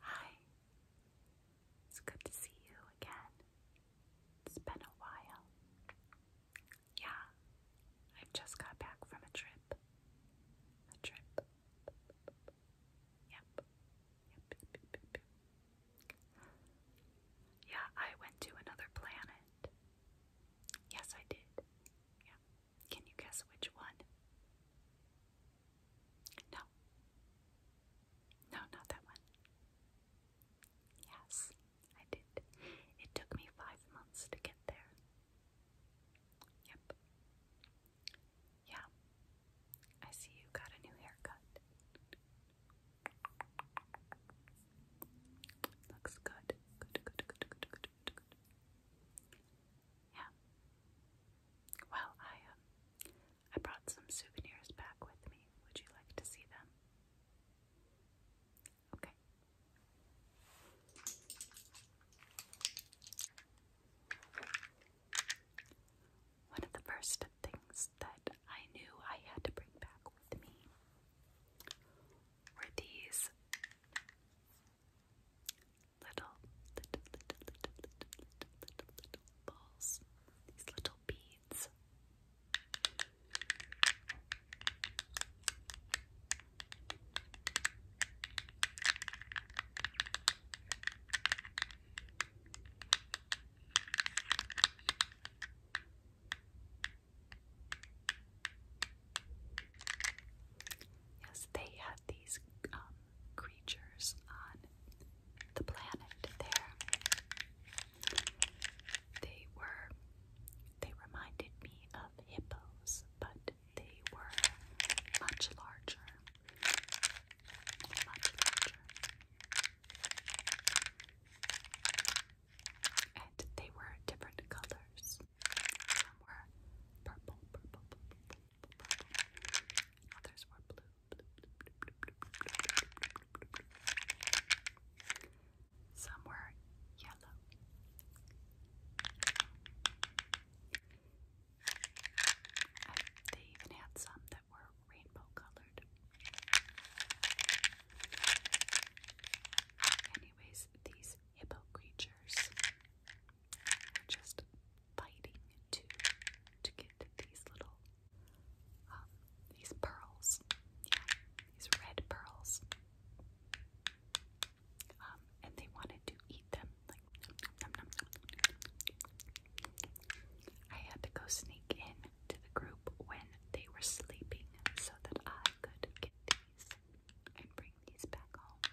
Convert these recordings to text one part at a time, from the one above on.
Hi, it's good to see you again. It's been a while. Yeah, i just got back from a trip. A trip. yep, yep. Yeah, I went to another planet. Yes, I did. Yeah. Can you guess which one? No. No, not that one. Yes, I did. It took me five months to get there. Yep. Yeah. I see you got a new haircut. Looks good. Yeah. Well, I um, I brought some souvenirs back with me. Would you like to see them? Okay. One of the first things that I knew I had to bring back with me were these little, little, little, little, little, little, little, balls, these little beads. Yes, they had these um, creatures on the planet there. They were, they reminded me of hippos, but they were much larger. Much larger. And they were different colors. Some were purple, purple, purple, purple, others were blue. Some were yellow. And they even had some that were rainbow colored. Anyways, these hippo creatures just fighting to to get these little um, these pearls, yeah, these red pearls. Um, and they wanted to eat them. Like, nom, nom, nom, I had to go sneak in to the group when they were sleeping so that I could get these and bring these back home.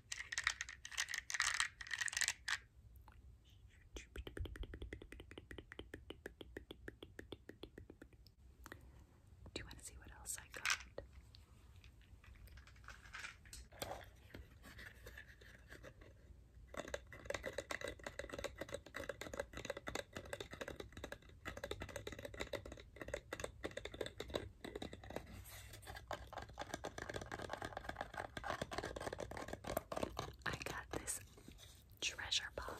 Do you want to see what else I got? I got this treasure box.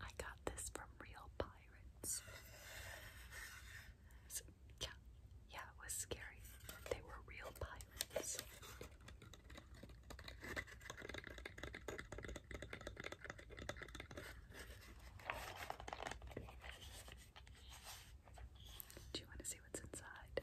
I got this from Real Pirates. yeah, yeah, it was scary. They were real pirates. Do you want to see what's inside?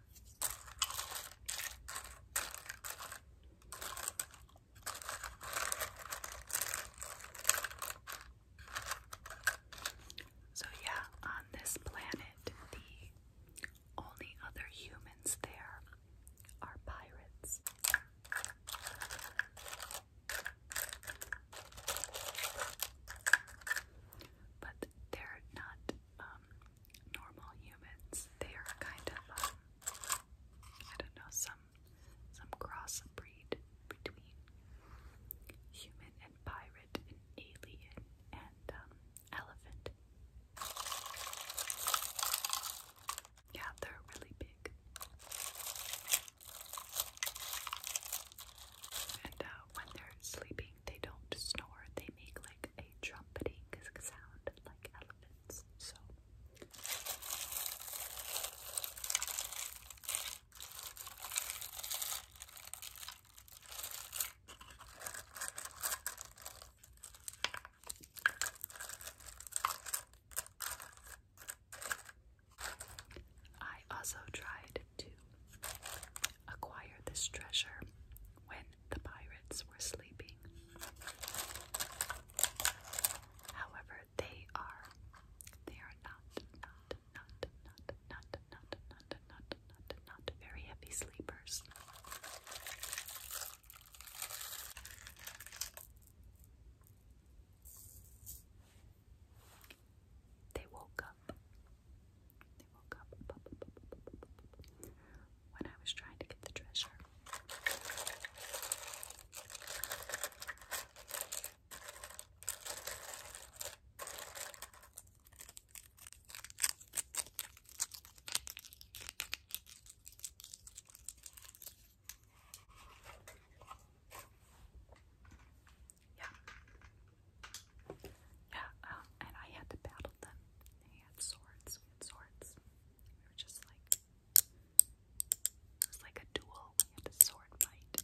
So, yeah, on this planet, the only other humans there are pirates. But they're not um, normal humans. They are kind of, um, I don't know, some some cross breed between human and pirate and alien and um, elephant. Yeah, they're really big. And uh, when they're sleeping, they don't snore, they make like a trumpeting sound like elephants. So I also tried to acquire this treasure when the pirates were sleeping. However, they are they are not not not not not not not not not very heavy sleepers. They woke up. They woke up when I was trying to get the treasure. Yeah, yeah, um, and I had to battle battled them. had swords. We had swords. We were just like it was like a duel. We had a sword fight.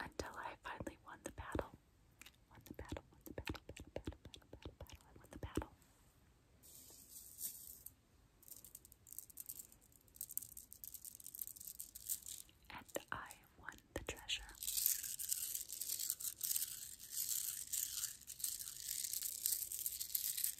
Until I finally won the battle. Won the battle, won the battle, battle, battle, battle, battle, battle. I won the battle. And I won the treasure.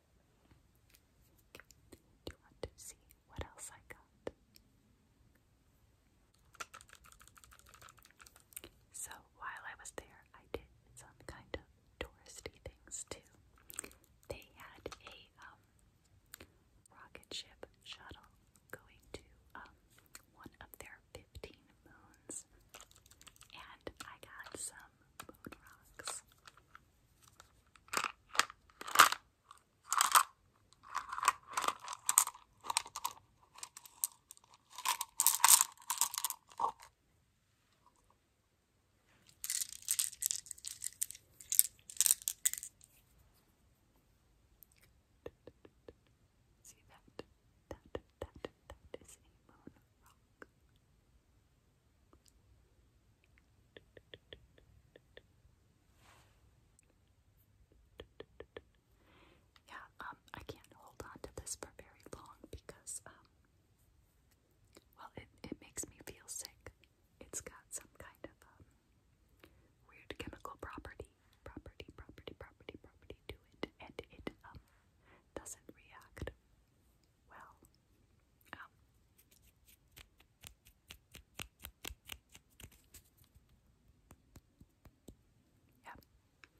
Do you want to see what else I got? So while I was there, I did some kind of touristy things too. They had a um, rocket ship shuttle going to um, one of their 15 moons, and I got some moon rocks. See that? That, that, that is a moon rock. Yeah, um, I can't hold on to this for very long because, um, well, it, it makes me feel sick. It's got some kind of um, weird chemical property, property, property, property, property to it, and it um, doesn't react well Oh. Yeah.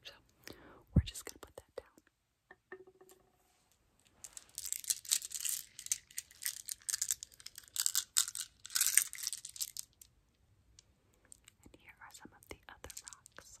So we're just going to put that down. And here are some of the other rocks.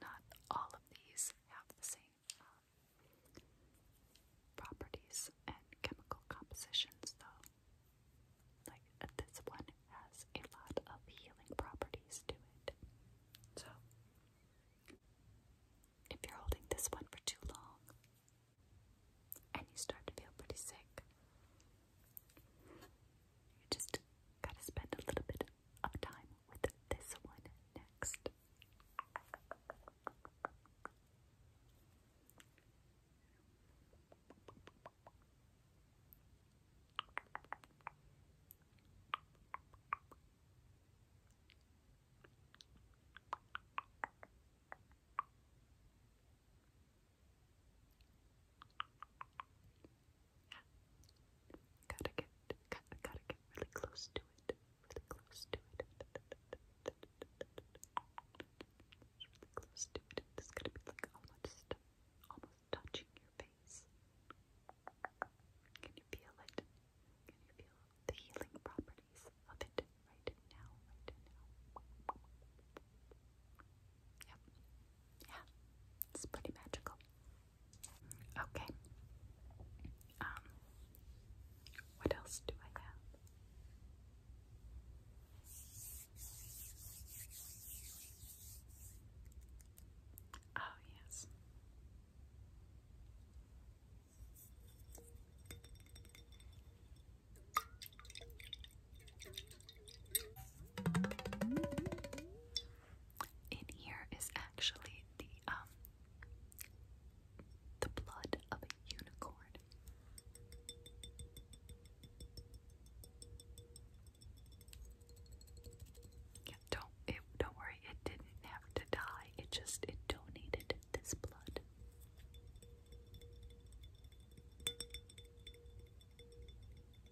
Not all of these have the same um, properties and chemical compositions, though. Like this one has a lot of healing properties to it. So, if you're holding this one for too long and you start to feel pretty sick, you just gotta spend a little bit of time with this one next. Gotta get, gotta, gotta get really close to it. Really close to it. Really close to it. It's gonna be like almost, almost touching your face. Can you feel it? Can you feel the healing properties of it right now? Right now. Yep. Yeah. It's pretty magical. Okay. Um what else do I have? Oh yes. In here is actually the um the blood of a unicorn. don't it, don't worry, it didn't have to die. It just it donated this blood.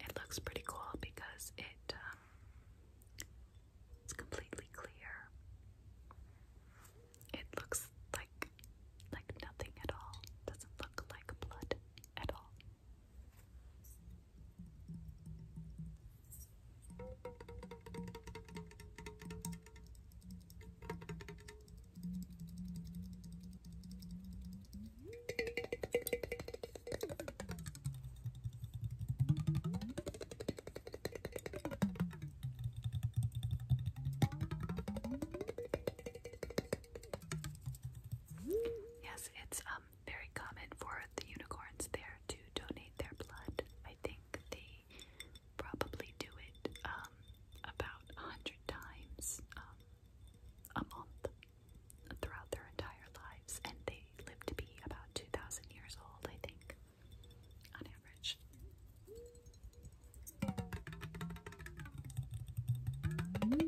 it looks pretty cool because it um, it's completely clear. It looks like like nothing at all. Doesn't look like blood at all. Yes, it's um very common for the unicorns there to donate their blood. I think they probably do it um about a hundred times um a month throughout their entire lives, and they live to be about 2,000 years old, I think, on average. Um,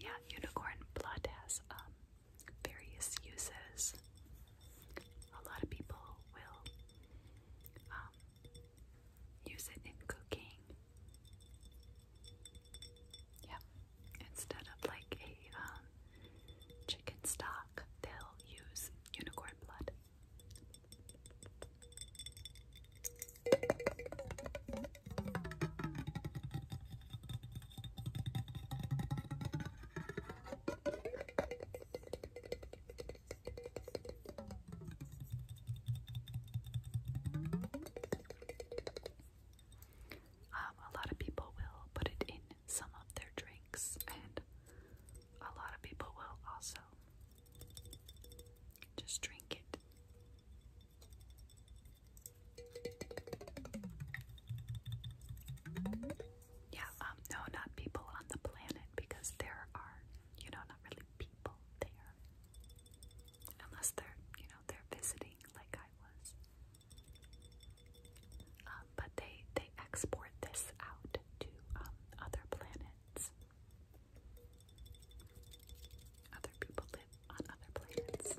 yeah, unicorn blood has um, various uses a lot of people will um, use it in cooking. Yeah, instead of like a um, chicken stock, they'll use unicorn blood. Um, a lot of people will put it in some of their drinks, and a lot of people will also just drink it. Yeah, um, no, not people on the planet because there are, you know, not really people there. Unless they're, you know, they're visiting like I was. Um, but they they export this out to um, other planets. Other people live on other planets.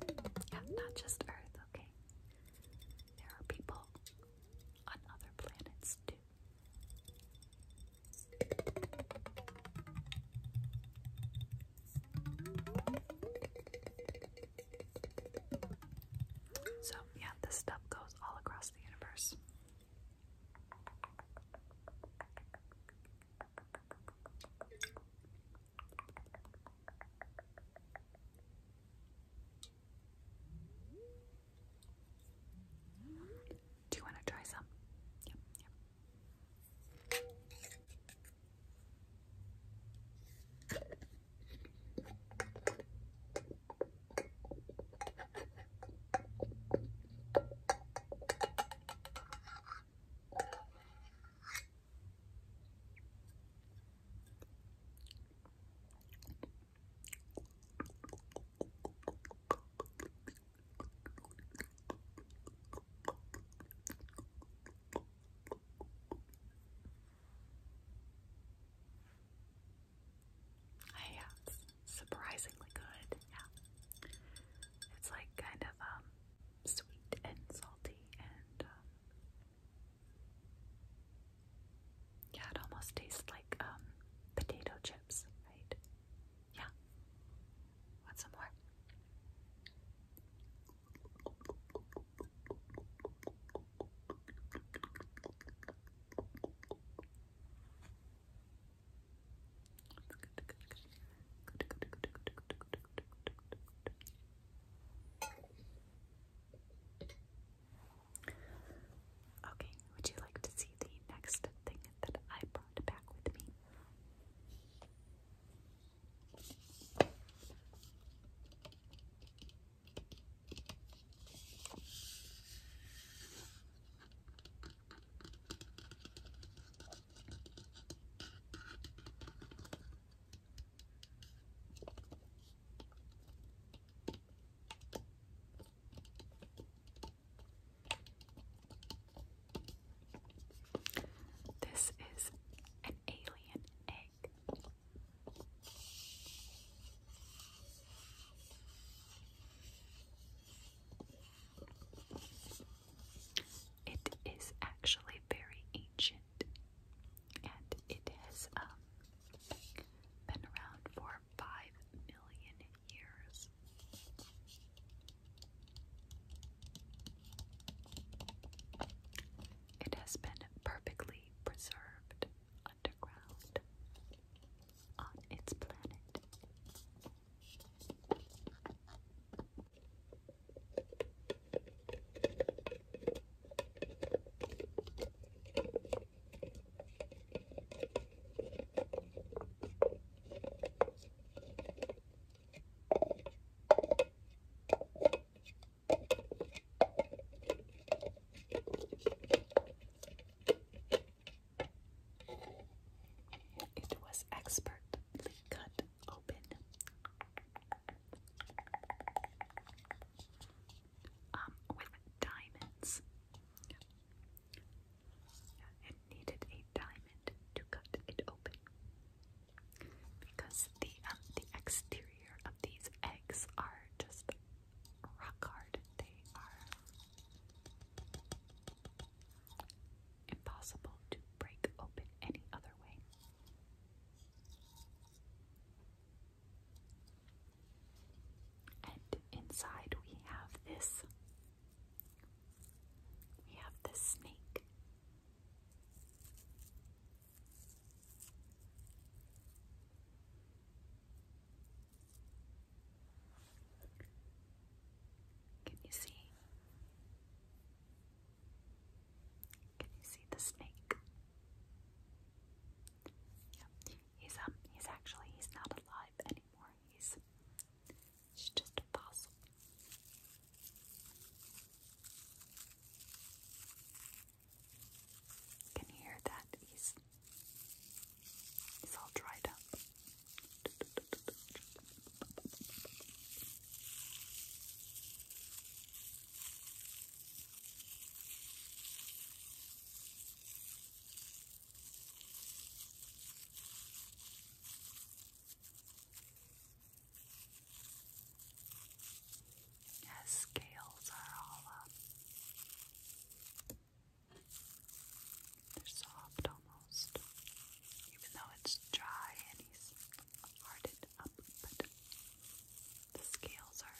Yeah, not just Earth, okay? There are people on other planets too. So, yeah, this stuff goes all across the universe. Do you want to try some? yeah, surprisingly good. Yeah, it's like kind of um sweet and salty and um, yeah, it almost tastes like um, potato chips, right? Yeah. Want some more? Okay, would you like to see the next thing that I brought back with me? Okay, this is an alien egg. It is actually very ancient and it um, been around for five million years. It has been perfectly preserved underground on its planet. It was expertly cut open. Um, with diamonds. It needed a diamond to cut it open because the um, the exterior of these eggs are just rock hard. They are impossible to break open any other way. And inside we have this. We have this snake. Can you see? Can you see the snake? Yep. He's um he's actually he's not alive anymore. He's just a fossil. You hear that he's he's all dried up. Yes, scales are all up. They're soft almost, even though it's dry and he's harded up, but the scales are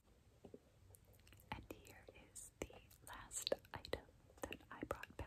And here is the last item that I brought back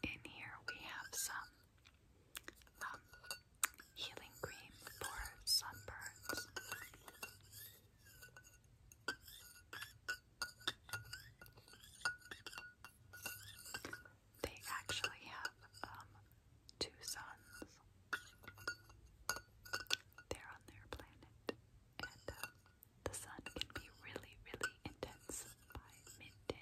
In here we have some um, healing cream for sunburns. They actually have um, two suns. they on their planet, and um, the sun can be really, really intense midday.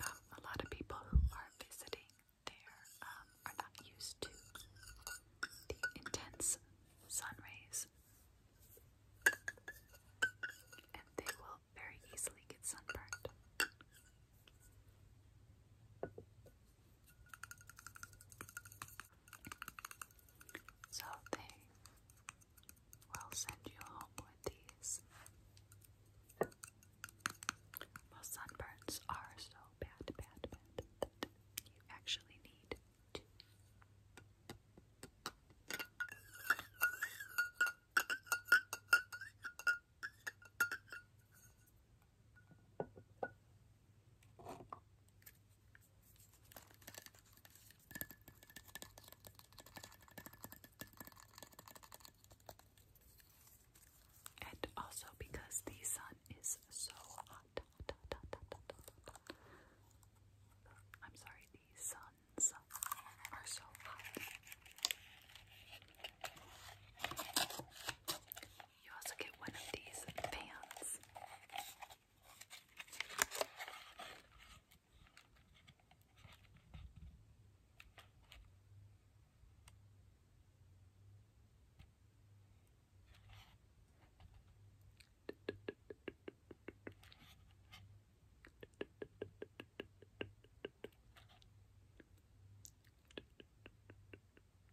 Um, a lot of people who are visiting there um, are not used to the intense sun rays, and they will very easily get sunburned. So they will send you home with these. Well, sunburns are so bad, bad, bad that you actually need and also because the sun is so hot. I'm sorry, the suns are so hot. You also get one of these pants.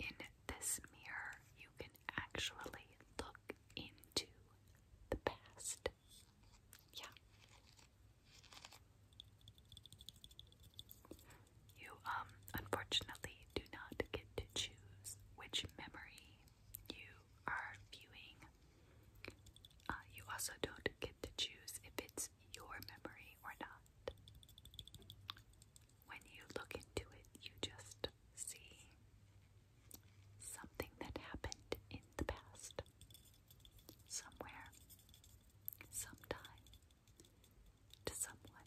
In this mirror, you can actually look into the past. Yeah. You, um, unfortunately do not get to choose which memory you are viewing. Uh, you also don't get to choose if it's your memory or not. When you look into it, you just see something that happened in the past, somewhere, sometime, to someone.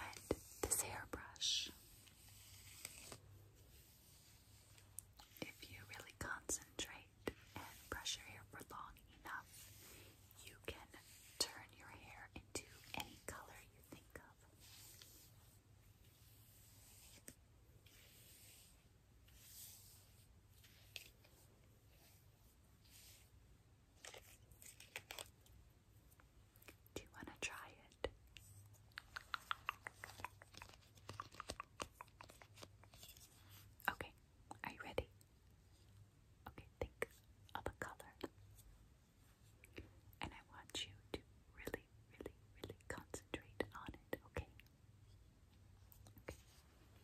And this hairbrush. If you really concentrate and brush your hair for long enough, you can turn your hair into any color you think of. Do you want to try it? Okay, are you ready? Okay, think of a color. And I want you to really, really, really concentrate on it, okay? Okay.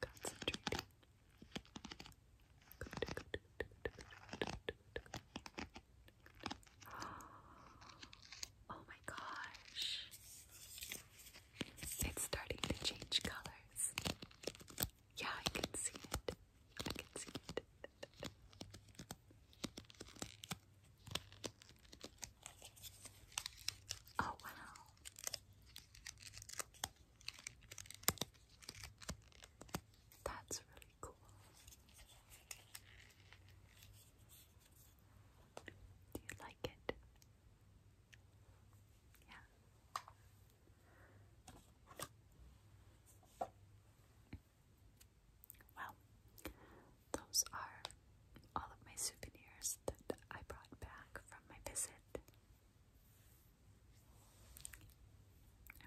Got some treat. Oh my gosh. It's starting to change colors. Yeah, I can see it. I can see it. Oh wow. That's really cool. Do you like it? Yeah. Well, those are all of my souvenirs that I brought back from my visit.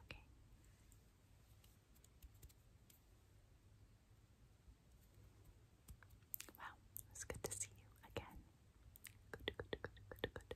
Okay. Wow, it's good to see you again. Good, good, good, good, good.